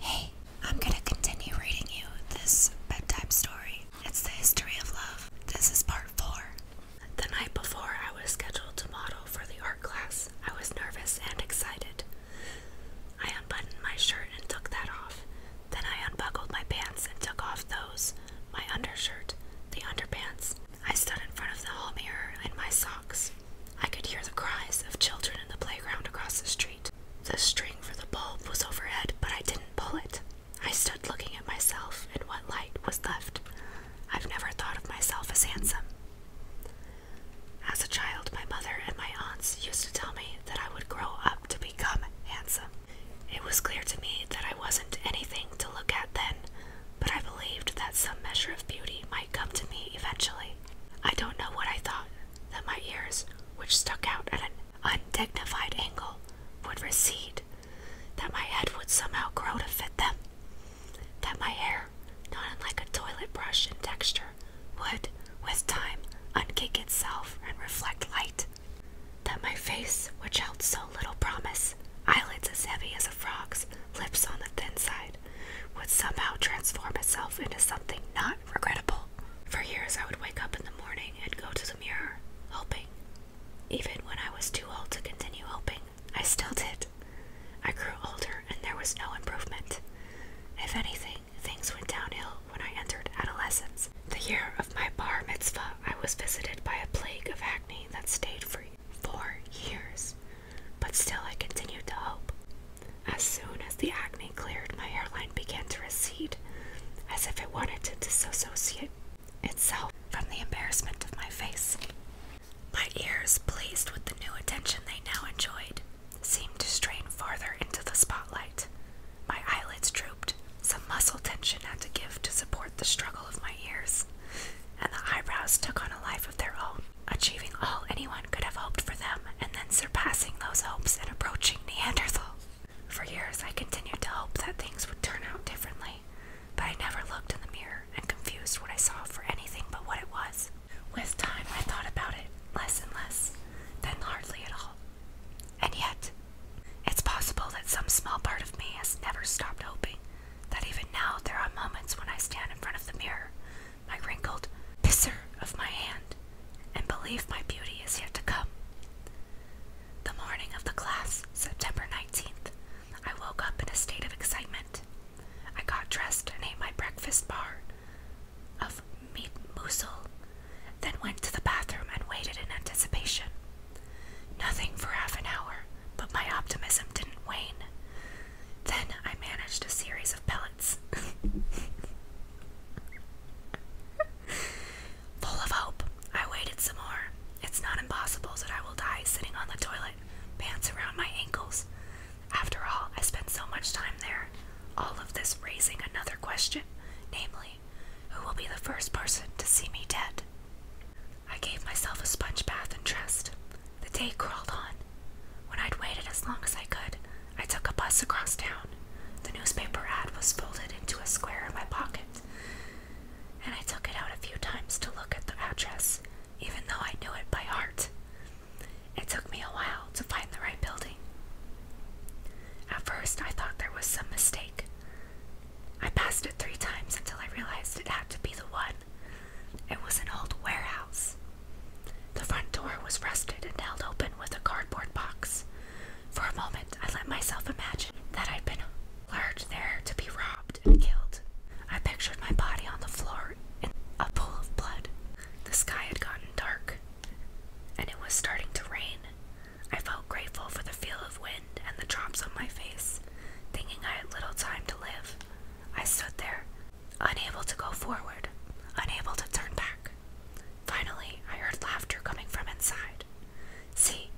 Hey, I'm gonna continue reading you this bedtime story. It's the history of love. This is part four. The night before I was scheduled to model for the art class, I was nervous and excited. I unbuttoned my shirt and took that off. Then I unbuckled my pants and took off those, my undershirt, the underpants. I stood in front of the hall mirror in my socks. I could hear the cries of children in the playground across the street. The string for the bulb was overhead, but I didn't pull it. I stood looking at myself in what light was left. I've never thought of myself as handsome. As a child, my mother and my aunts used to tell me that I would grow up to become handsome. It was clear to me that I wasn't anything to look at then, but I believed that some measure of beauty might come to me eventually. I don't know what I thought that my ears, which stuck out at an undignified angle, would recede, that my head would somehow grow to fit them, that my hair, not unlike a toilet brush in texture, would, with time, unkick itself and reflect light, that my face, which held so little promise, eyelids as heavy as a frog's, lips on the thin side, would somehow transform itself into something not regrettable. For years, I would wake up in the morning and go to the mirror, hoping. Even when I was too old to continue hoping, I still did. I grew older and there was no improvement. If anything, things went downhill when I entered adolescence. The year of my bar mitzvah, I was visited by a plague of acne that stayed for four years but still I continued to hope. As soon as the acne cleared, my hairline began to recede, as if it wanted to dissociate itself from the embarrassment of my face. My ears, pleased with the new attention they now enjoyed, seemed to strain farther into the spotlight. My eyelids drooped, some muscle tension had to give to support the struggle of my ears, and the eyebrows took on a life of their own achieving all anyone could have hoped for them, and then surpassing those hopes and approaching Neanderthal. For years, I continued to hope that things would turn out differently, but I never looked in the mirror and confused what I saw for anything but what it was. With time, I thought about it less and less, then hardly at all. And yet, it's possible that some small part of me has never stopped hoping, that even now there are moments when I stand in front of the mirror my wrinkled pisser of my hand, and believe my beauty is yet to come. The morning of the class, September 19th, I woke up in a state of excitement. I got dressed and ate my breakfast bar of meat mousel, then went to the bathroom and waited in anticipation. Nothing for half an hour, but my optimism didn't wane. Then I managed a series of pellets. Full of hope, I waited some more. It's not impossible that I will die sitting on the toilet, pants around my ankles. After all, I spent so much time there. All of this raising another question, namely, who will be the first person to see me dead? I gave myself a sponge bath and dressed. The day crawled on. When I'd waited as long as I could, I took a bus across town. The newspaper ad was folded into a square in my pocket, and I took it out a few times to look at the address, even though I knew it by heart. It took me a while to find the right building. At first, I thought there was some mistake. I passed it three times until I realized it had to be the one it was an old warehouse. The front door was rusted and held open with a cardboard box. For a moment, I let myself imagine that I'd been lured there to be robbed and killed. I pictured my body on the floor in a pool of blood. The sky had gotten dark, and it was starting to rain. I felt grateful for the feel of wind and the drops on my face, thinking I had little time to live. I stood there, unable to go forward, unable to turn back. Finally, I heard laughter coming from inside. See,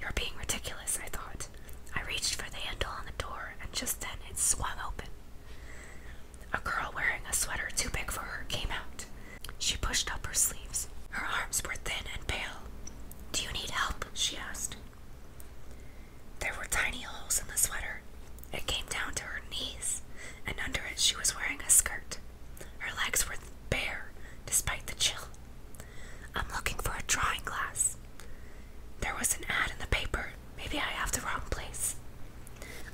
you're being ridiculous, I thought. I reached for the handle on the door, and just then it swung open. A girl wearing a sweater too big for her came out. She pushed up her sleeves. Her arms were thin and pale. Do you need help? she asked. There were tiny holes in the sweater. It came down to her knees, and under it she was wearing a skirt. Her legs were bare despite the chill. I'm looking for a drawing glass. There was an ad in the paper. Maybe I have the wrong place.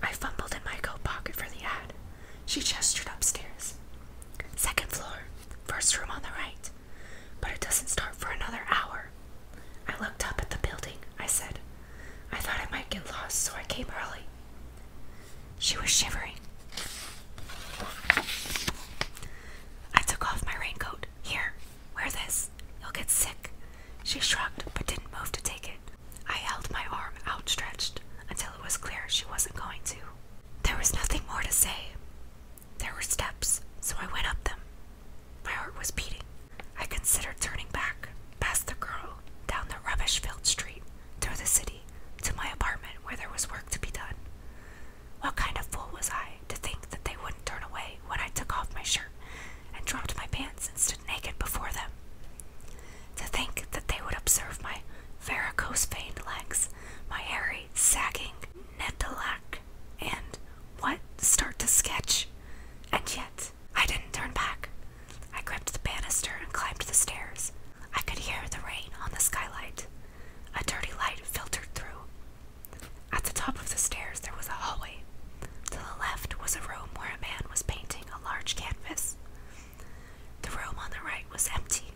I fumbled in my coat pocket for the ad. She gestured upstairs. Second floor, first room on the right. But it doesn't start for another hour. I looked up at the building, I said. I thought I might get lost, so I came early. She was shivering. I took off my raincoat. Here, wear this. You'll get sick. She shrugged, but didn't move to take it. I held my arm outstretched until it was clear she wasn't going to. There was nothing more to say. There were steps, so I went up them. My heart was beating. I considered turning back, past the girl, down the rubbish filled street, through the city, to my apartment where there was work to be done. What kind of fool was I to think that they wouldn't turn away when I took off my shirt and dropped my pants and stood naked before them? To think that they would observe my varicose veined legs my hairy, sagging nettleac, and what start to sketch. And yet, I didn't turn back. I gripped the banister and climbed the stairs. I could hear the rain on the skylight. A dirty light filtered through. At the top of the stairs, there was a hallway. To the left was a room where a man was painting a large canvas. The room on the right was empty.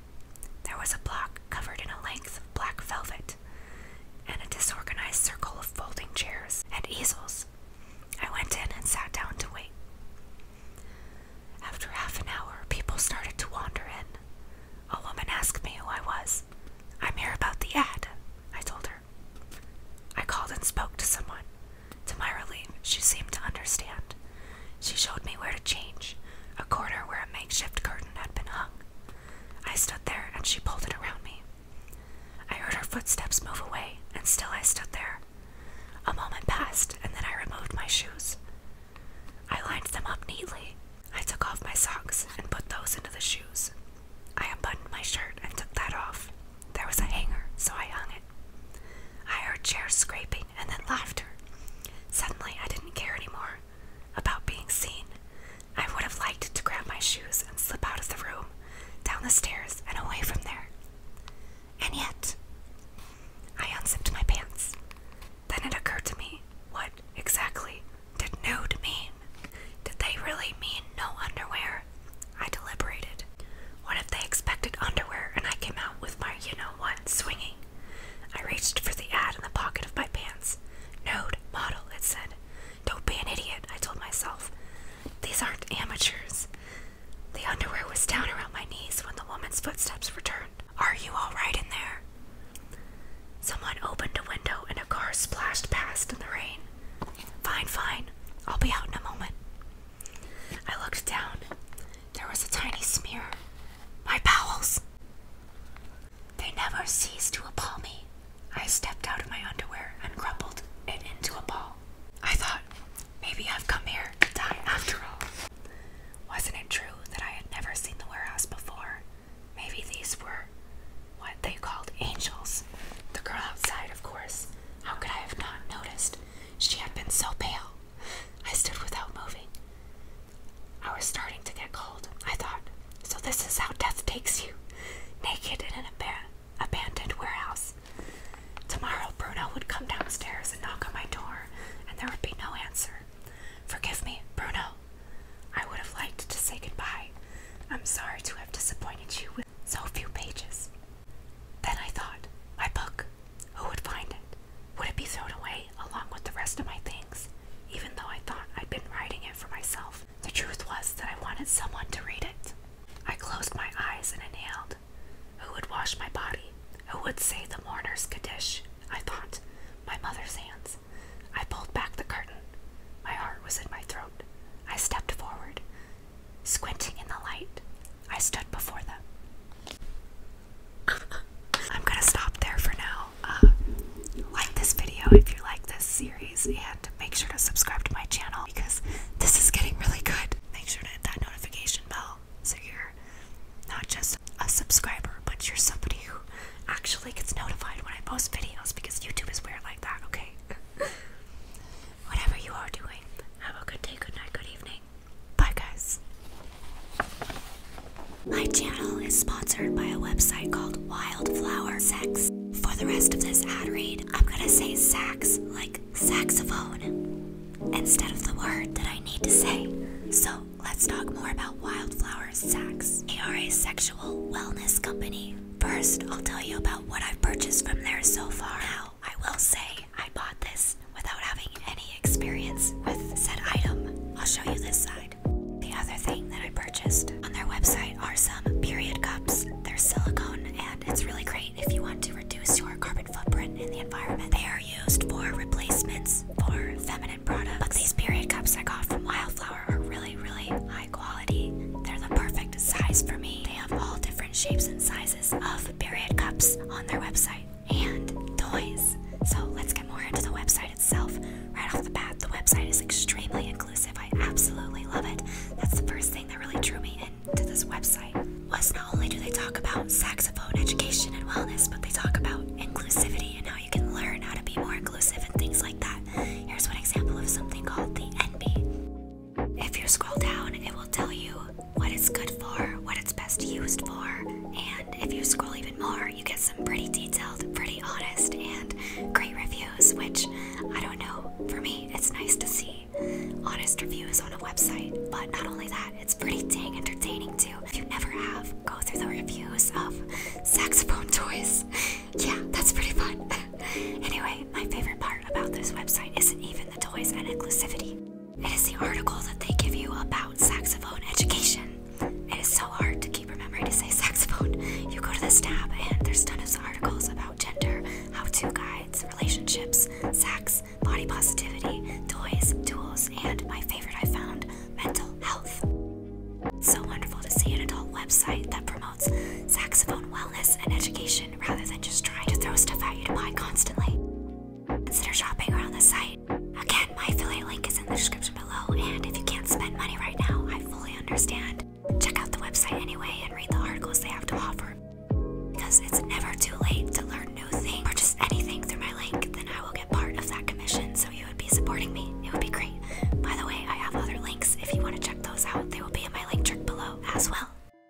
There was a block covered in a length of black velvet, and a disorganized circle of folding chairs and easels. I went in and sat down to wait. After half an hour, people started to wander in. A woman asked me who I was. I'm here about the ad, I told her. I called and spoke to someone. To my relief, she seemed to understand. She showed me where to change, a corner where a makeshift curtain had been hung. I stood there and she pulled it around me. I heard her footsteps move away, and still I stood there. A moment passed, and then I removed my shoes. I lined them up neatly. I took off my socks and put those into the shoes. I unbuttoned my shirt and took that off. There was a hanger, so I hung it. I heard chairs scraping and then laughter. Suddenly, I didn't care anymore about being seen. I would have liked to grab my shoes and slip out of the room, down the stairs, and away from there. And yet, I unzipped my pants. Then it occurred to me what exactly did nude mean? Did they really mean no underwear? I deliberated. What if they expected underwear and I came out with my you know what swinging? I reached for the ad in the pocket of my pants. Node, model, it said. Don't be an idiot, I told myself. These aren't amateurs. The underwear was down around my knees when the woman's footsteps returned. Are you all right in there? Someone opened a window and a car splashed past in the rain. Fine, fine. I'll be out in a moment. I looked down. There was a tiny smear my bowels! They never ceased to appall me. I stepped out of my underwear and crumpled it into a ball. I thought, maybe I've come here to die after all. Wasn't it true that I had never seen the warehouse before? Maybe these were what they called angels. The girl outside, of course. How could I have not noticed? She had been so pale. I stood without moving. I was starting to get cold, I thought. So this is how death takes you. Naked in an aban abandoned warehouse. Tomorrow Bruno would come downstairs and knock on my door, and there would be no answer. Forgive me, Bruno. I would have liked to say goodbye. I'm sorry to have disappointed you with so few pages. Then I thought, my book. Who would find it? Would it be thrown away along with the rest of my things? Even though I thought I'd been writing it for myself, the truth was that I wanted someone to read it. I closed my eyes and inhaled. Who would wash my body? Who would say the mourner's Kaddish? I thought. My mother's hands. I pulled back the curtain. My heart was in my throat. I stepped forward. Squinting in the light, I stood before them. I'm gonna stop there for now. Uh, like this video if you like this series, and make sure to subscribe to my channel because this is getting really good. Make sure to hit that notification bell so you're not just a subscriber, but you're somebody who actually gets notified when I post videos because YouTube is weird like that, okay? Whatever you are doing, have a good day, good night, good evening. Bye, guys. My channel is sponsored by a website called Wildflower Sex. For the rest of this ad read, I'm gonna say sax like saxophone instead of the word that I need to say. So let's talk more about Wildflower Sex. They are a sexual wellness company. First, I'll tell you about what I've purchased from there so far. Now, I will say I bought this without having any experience with said item. I'll show you this side. The other thing that I purchased on their website are some period cups. They're silicone and it's really great if you want to reduce your carbon footprint in the environment. They are used for replacements for feminine products. But these period cups I got from Wildflower are really, really high quality. They're the perfect size for me. They have all different shapes and sizes sizes of period cups on their website and toys. So let's get more into the website itself. Right off the bat, the website is extremely inclusive. I absolutely love it. That's the first thing that really drew me into this website. Was not only do they talk about saxophone education and wellness, but they talk about inclusivity and how you can learn how to be more inclusive and things like that. Here's one example of something called the NB. If you scroll down, it will tell you what it's good for, what it's best used for, and if you scroll even more, you get some pretty detailed, pretty honest, and great reviews, which I don't know. For me, it's nice to see honest reviews on a website, but not only that, it's pretty dang entertaining too. If you never have, go through the reviews of saxophone toys. yeah, that's pretty fun. anyway, my favorite part about this website isn't even the toys and inclusivity. It is the article that they give you about saxophone education. It is so hard to keep remembering to say saxophone. You go to this tab and there's tons of articles about gender, how-to guides, relationships, sex, body positivity, toys, tools, and my favorite I found, mental health. So wonderful to see an adult website that promotes saxophone wellness and education rather than just trying to throw stuff at you to buy constantly. Consider shopping around the site. Again, my affiliate link is in the description below, and if you can't spend money right now, I fully understand. Check out the website anyway and read the articles they have to offer. Because it's never too late to learn new things. Purchase anything through my link, then I will get part of that commission, so you would be supporting me. It would be great. By the way, I have other links if you want to check those out. They will be in my link trick below as well.